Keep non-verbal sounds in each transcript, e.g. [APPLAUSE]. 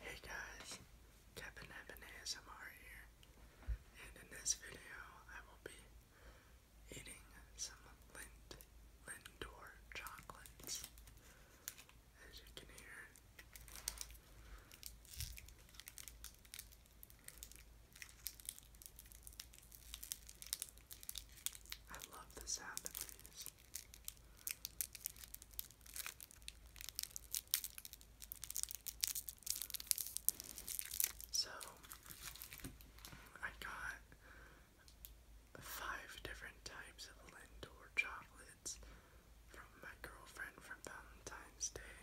Hey guys, Kevin Evan ASMR here, and in this video I will be eating some Lindor chocolates. As you can hear. I love the sound of these. So I got five different types of Lindor chocolates from my girlfriend from Valentine's Day.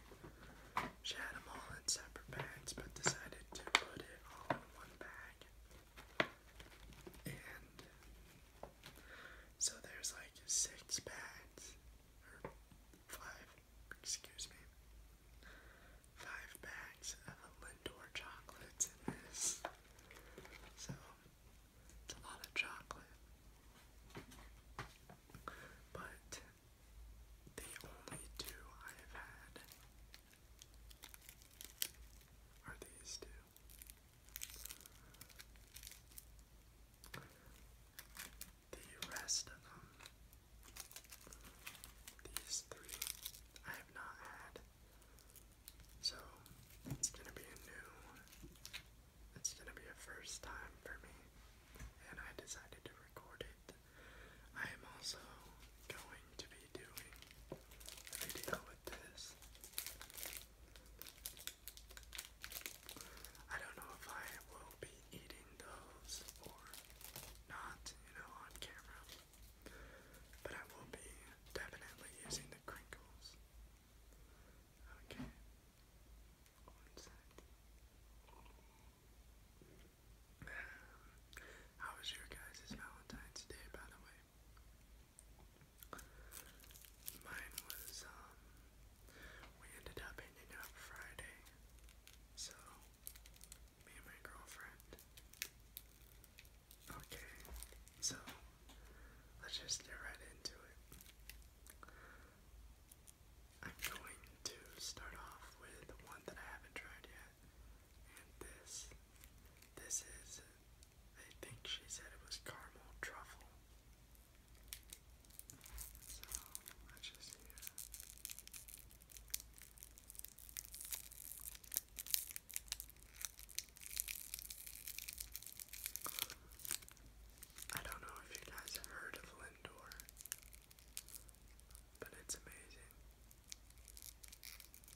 She had them all in separate bags but decided to put it all in one bag so there's like six bags, five, excuse me, five bags of Lindor chocolates in this. So it's a lot of chocolate. But the only two I have had are these two. The rest of them, these three, I have not had. So it's gonna be a new, it's gonna be a first time for me, and I decided to record it. I am also going to be doing with this. I don't know if I will be eating those or not, you know, on camera. But I will be definitely using the crinkles. Okay. One sec. Um, how was your guys' Valentine's Day, by the way? Mine was, um, we ended up ending up Friday, so me and my girlfriend. Okay, so let's just get right into it. I'm going to start off with one that I haven't tried yet, and this. This is I think she said it was caramel truffle. So let's just see. I don't know if you guys have heard of Lindor, but it's amazing.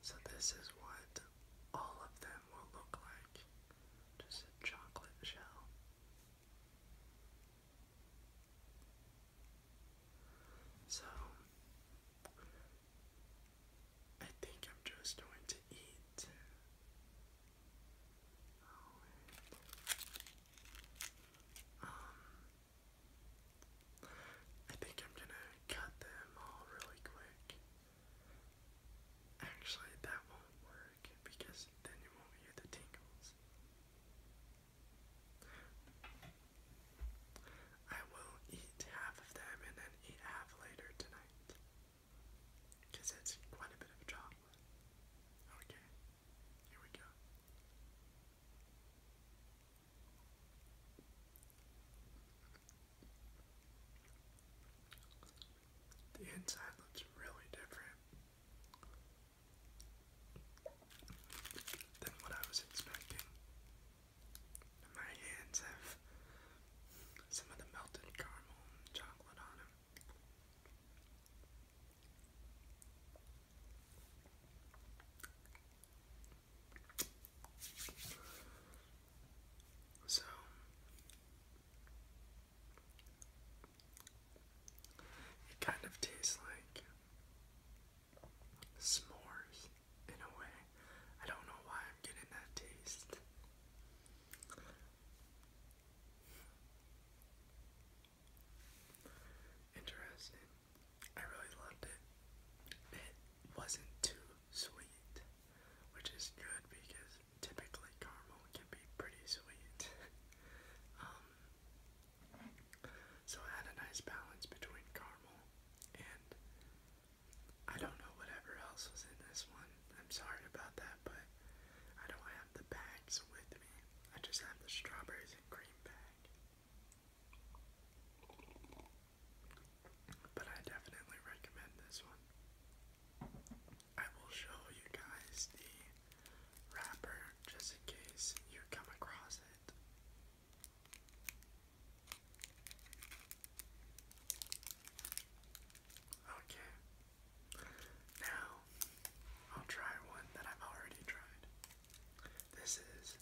So, this is what all of them will look like. Just a chocolate shell. So, I think I'm just going to eat. um, I think I'm gonna cut them all really quick Actually, that won't work because then you won't hear the tingles. I will eat half of them and then eat half later tonight. Because it's quite a bit of chocolate. Okay, here we go. The inside looks really different than what I was expecting. my hands have some of the melted caramel chocolate on them. So, it kind of tastes like s'mores in a way. I don't know why I'm getting that taste. Interesting. I really loved it. It wasn't too sweet, which is good because typically caramel can be pretty sweet. [LAUGHS] Um, so it a nice balance between caramel and I don't know whatever else was in this one. I'm sorry about that, but I don't have the bags with me. I just have the strawberries and cream bag. But I definitely recommend this one. I will show you guys the wrapper just in case you come across it. Okay. Now, I'll try one that I've already tried. This is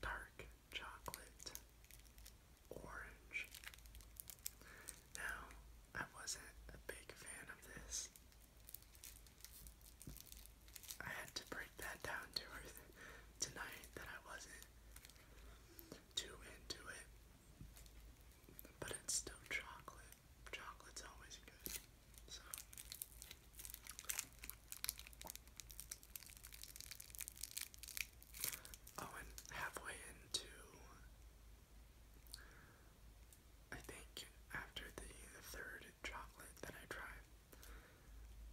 dark chocolate orange. Now, I wasn't a big fan of this. I had to break that down to her tonight that I wasn't too into it. But it's still chocolate. Chocolate's always good. So. Oh, and halfway into I think after the third chocolate that I try,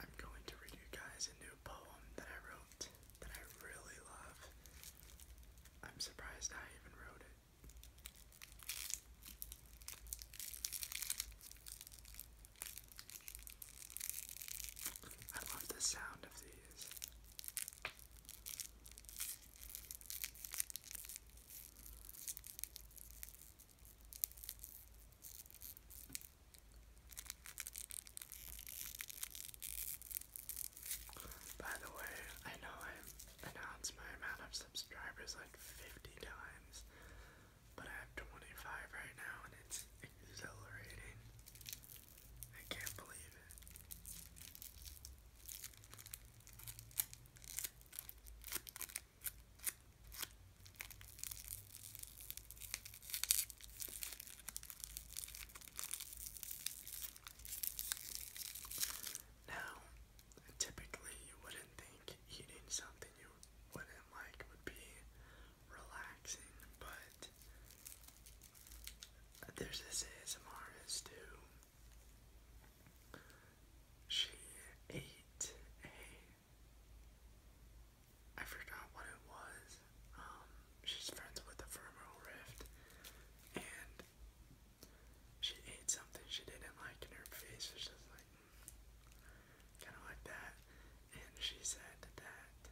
I'm going to read you guys a new poem that I wrote that I really love. I'm surprised I even wrote it. I love the sound of these. By the way, I know i announced my amount of subscribers like 50 times, but I have 25 right now and it's exhilarating. I can't believe it. Now, typically you wouldn't think eating something you wouldn't like would be relaxing, but there's this ASMRist who she ate a I forgot what it was. Um, she's friends with the Femoral Rift and she ate something she didn't like in her face, which is like hmm, kinda like that. And she said that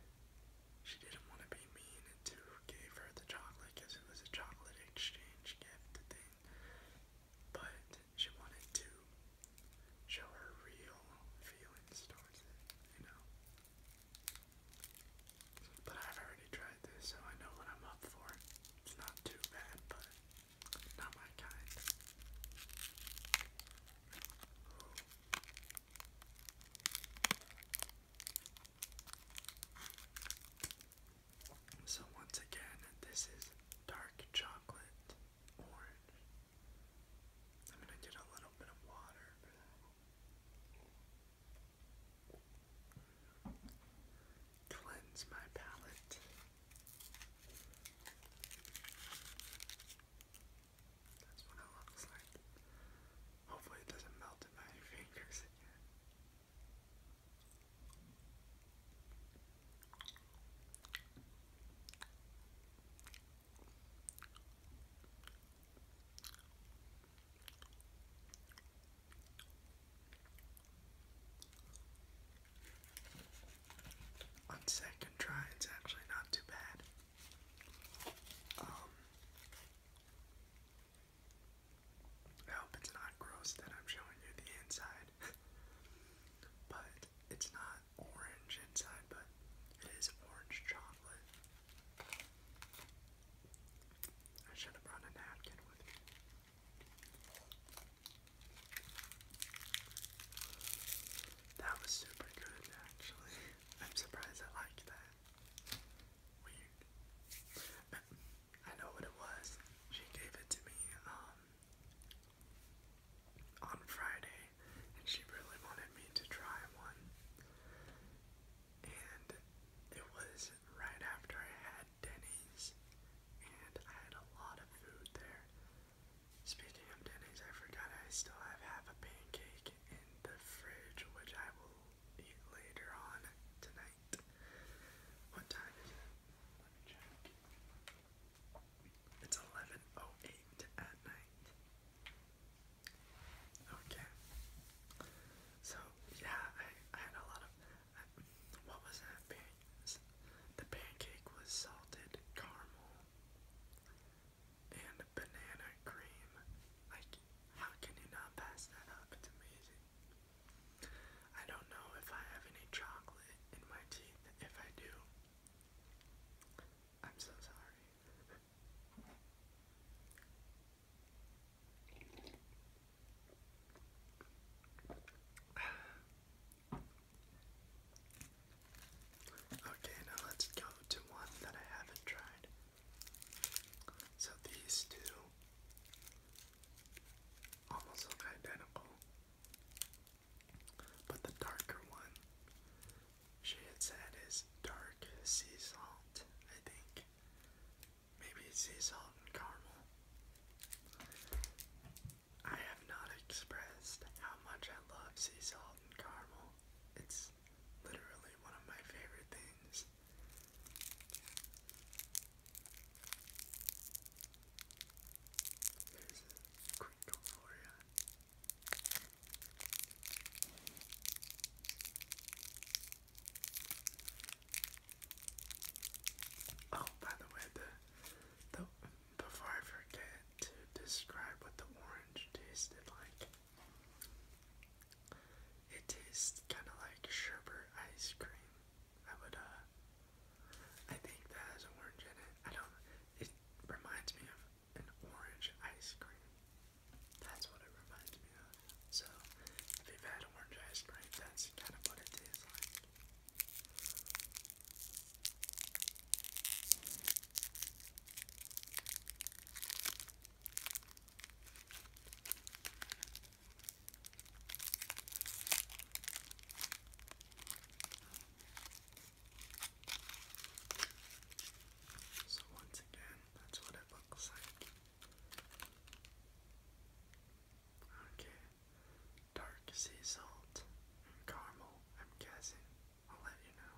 she didn't want to be mean and two gave her the chocolate because it was a chocolate exchange gift thing. But she wanted to show her real feelings towards it, you know. But I've already tried this, so I know what I'm up for. It's not too bad, but not my kind. So, once again, this is dark chocolate orange. I'm going to get a little bit of water Cleanse my palate. That's what it looks like. Hopefully, it doesn't melt in my [LAUGHS] fingers. On second try, it's actually not too bad. Um, I hope it's not gross that I'm showing you the inside. [LAUGHS] but it's not orange inside, but it is orange chocolate. I should have brought a napkin with me. That was super good, actually. [LAUGHS] I'm surprised I liked that. Weird. I know what it was. She gave it to me um, on Friday, and she really wanted me to try one. And it was right after I had Denny's, and I had a lot of food there. Speaking of Denny's, I forgot I still have half a pancake in the fridge, which I will later on tonight. What time is it? Let me check. It's 11.08 at night. Okay. So, yeah, I, I had a lot of... what was that? Pan the pancake was salted caramel and banana cream. Like, how can you not pass that up? It's amazing. I don't know if I have any chocolate in my teeth. If I do, I'm so sorry. [SIGHS] okay, now let's go to one that I haven't tried. So these two almost look identical, but the darker one, she had said, is dark sea salt, I think. Maybe sea salt and caramel. I have not expressed how much I love sea salt and caramel. It's literally one of my favorite things. There's a Oh, by the way, the, the before I forget to describe what the orange tasted like, it tastes kind of like sherbet ice cream. I would, uh, I think that has orange in it. I don't, it reminds me of an orange ice cream. That's what it reminds me of. So, if you've had orange ice cream, that's kind of what it is like. So, once again, that's what it looks like. Okay, dark sea salt and caramel, I'm guessing. I'll let you know.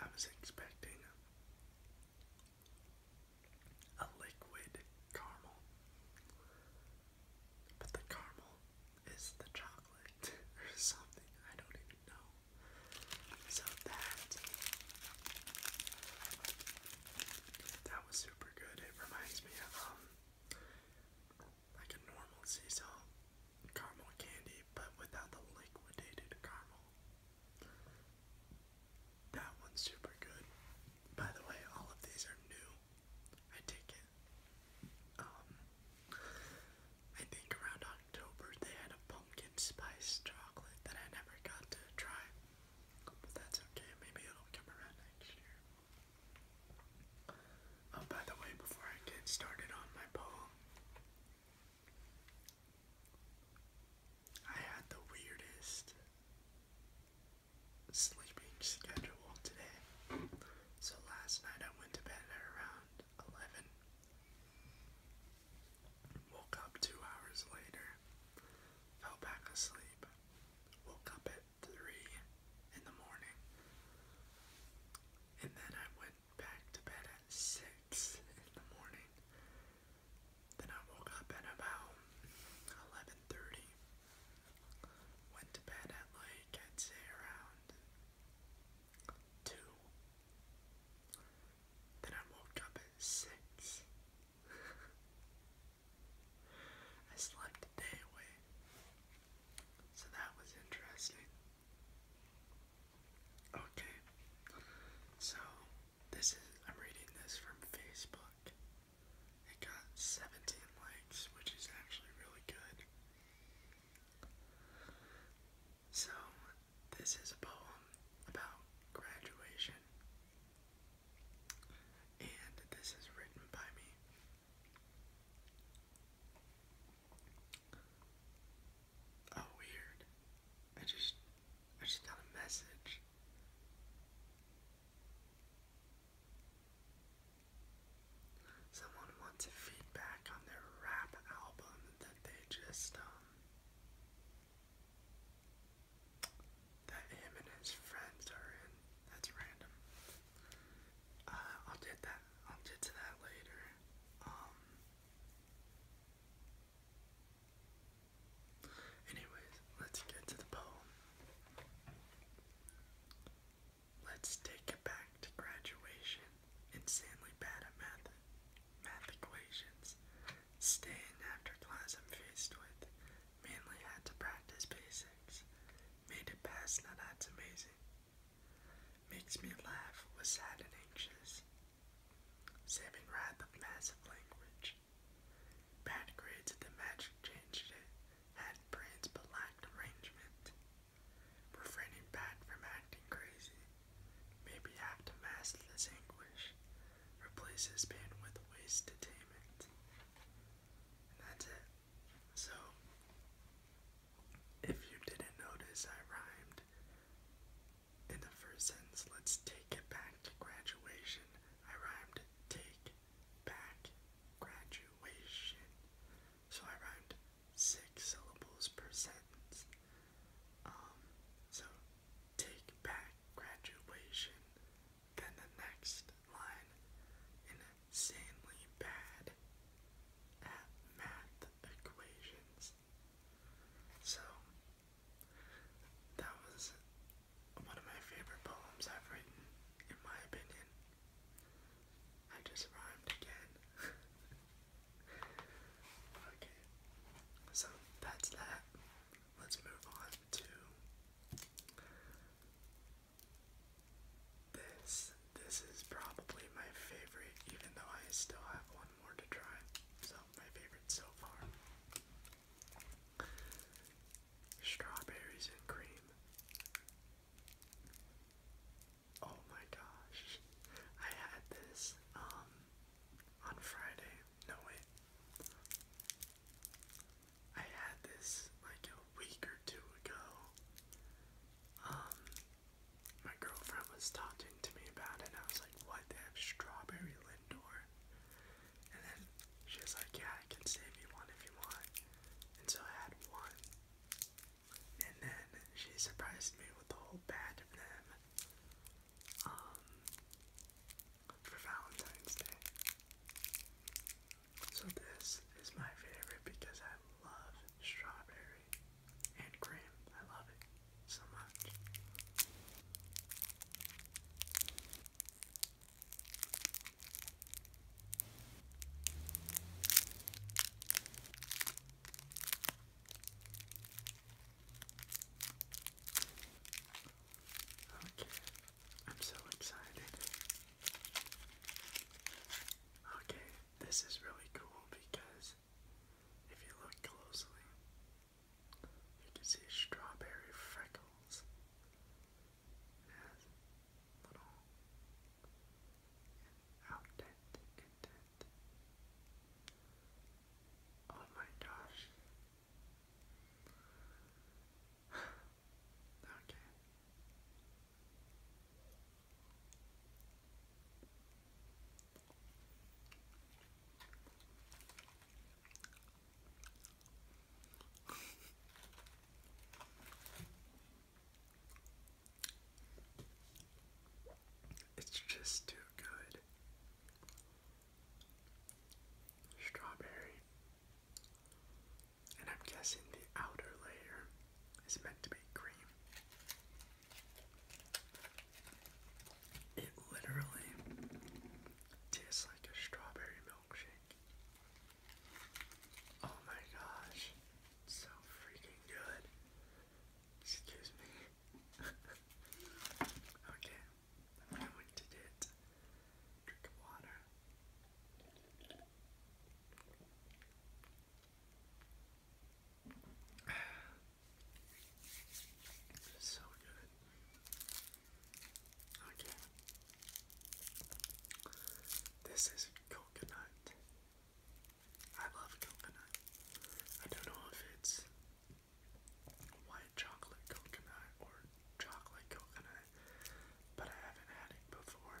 I was expecting a liquid caramel, but the caramel is the chocolate [LAUGHS] or something. I don't even know. So that that was super good. It reminds me of um like a normal sea caramel candy, but without the liquidated caramel. That one's super good. By the way, all of these are new. I take it. Um, I think around October they had a pumpkin spice chocolate that I never got to try. But that's okay, maybe it'll come around next year. Oh, by the way, before I get started on my poem, I had the weirdest sleeping schedule today. So last night I went to bed at around 11. Woke up two hours later. Fell back asleep. Woke up at 3 in the morning. And then I went back to bed at 6 in the morning. Then I woke up at about 11.30. Went to bed at like, I'd say around 2. Then I woke up at 6. [LAUGHS] I slept a day away. So that was interesting. Okay. So this is I'm reading this from Facebook. It got 17 likes, which is actually really good. So, this is a poem about graduation. And this is written by me. Oh, weird. I just, I just got a message. Someone wants feedback on their rap album that they just, um, that him and his friends are in. That's random. Uh, I'll get that, I'll get to that later. Um, Anyways, let's get to the poem. Let's take it back to graduation. Insanely bad at math, math equations. Staying after class I'm faced with. Mainly had to practice basics. Made it pass. now that's amazing. Makes me laugh, was sad and anxious. Saving Wrath of Massive Language. Bad grades at the Magic Changed It had brains but lacked arrangement. Refraining back from acting crazy, maybe have to mask this anguish, replace his pain with waste attainment. that's it. So, if you didn't notice, I rhymed in the first sentence, let's take it back to graduation. I rhymed take back graduation. So I rhymed six syllables per sentence. Um, so take back graduation. Then the next line, insanely bad at math equations. So that was one of my favorite poems I've written, in my opinion. I just rhymed again. [LAUGHS] okay, so that's that. Let's move on to this. This is probably my favorite, even though I still have one more to try. So, my favorite so far. Strawberries and cream. Oh my gosh. I had this um on Friday. No wait. I had this like a week or two ago. Um my girlfriend was talking to me about it, and I was like, what? They have strawberry Lindor? And then she was like, yeah, I can save you one if you want. And so I had one. And then she surprised me with a whole batch of them um, for Valentine's Day. So this is my favorite because I love strawberry and cream. I love it so much. Okay, I'm so excited. Okay, this is really cool because if you look closely, you can see strawberry freckles. It little Oh my gosh. [SIGHS] okay it's just too good. Strawberry. And I'm guessing the outer layer is meant to be green. It literally tastes like a strawberry milkshake. Oh my gosh, so freaking good. Excuse me. [LAUGHS] okay, I'm going drink of water. [SIGHS] So good. Okay. This is coconut. I love coconut. I don't know if it's white chocolate coconut or chocolate coconut, but I haven't had it before.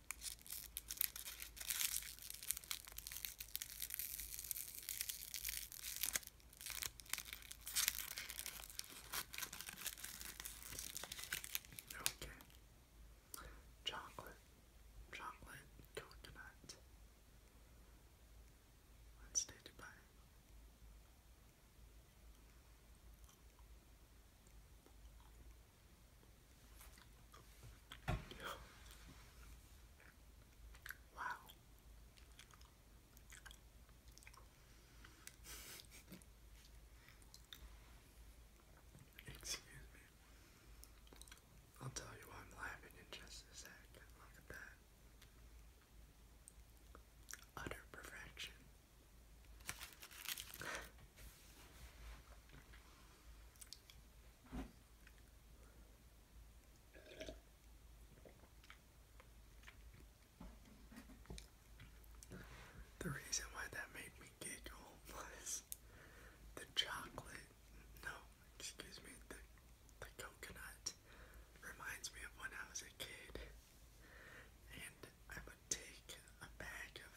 Okay. Chocolate, chocolate, coconut. Let's do Dubai. Wow. [LAUGHS] Excuse me. I'll tell you why I'm laughing in just a sec. Look at that. Utter perfection. [LAUGHS] The reason why that made me giggle [LAUGHS] was the chocolate, no, excuse me, the, the coconut reminds me of when I was a kid. And I would take a bag of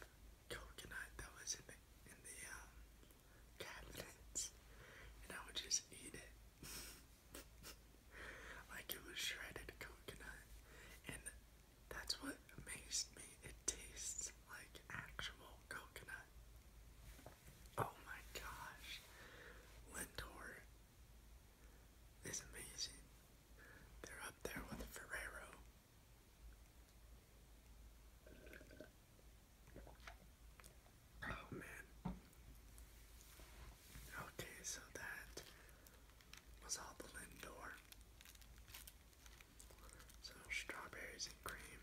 coconut that was in the, in the um, cabinets, and I would just eat it [LAUGHS] like it was shredded coconut, and that's what amazed me. It tastes like actual coconut. Oh my gosh, Lindor is amazing. They're up there with Ferrero. Oh man. Okay, so that was all the Lindor. So strawberries and cream.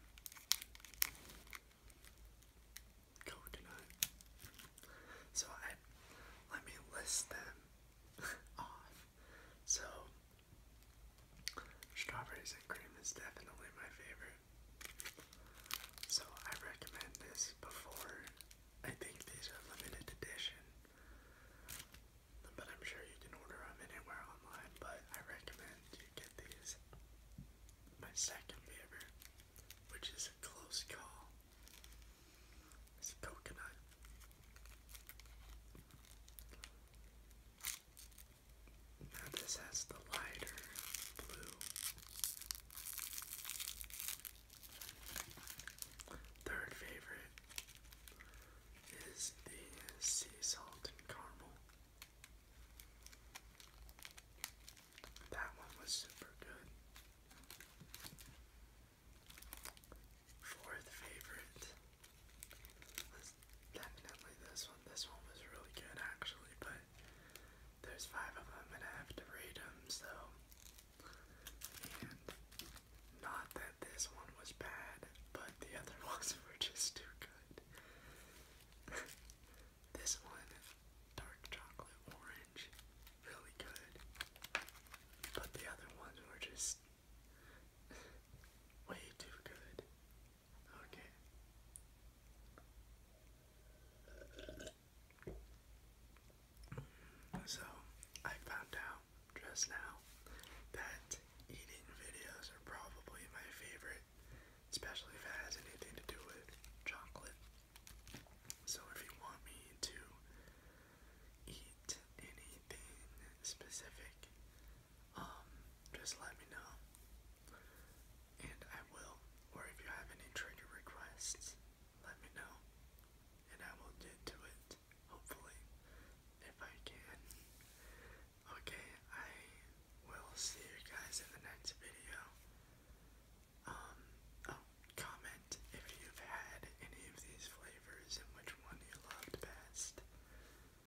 Coconut. So let me list them [LAUGHS] off. So Strawberries and cream is definitely my favorite. So I recommend this before. I think these are limited edition. But I'm sure you can order them anywhere online, but I recommend you get these. My second favorite, which is a close call, is coconut. Now this has the lighter blue. Third favorite is the sea salt and caramel. That one was super good. Fourth favorite definitely this one. This one was really good actually, but there's five of them and I have to read them, so. [LAUGHS] not that this one was bad, but the other ones were just too good. this [LAUGHS] one, dark chocolate orange, really good. But the other ones were just way too good. Okay. So, I found out just now that eating videos are probably my favorite, especially if it has anything to do with chocolate. So, if you want me to eat anything specific, um, just let me know. And I will. Or if you have any trigger requests, let me know. And I will get to it, hopefully, if I can. Okay, I will see you guys in the next video. Um, oh, comment if you've had any of these flavors and which one you loved best.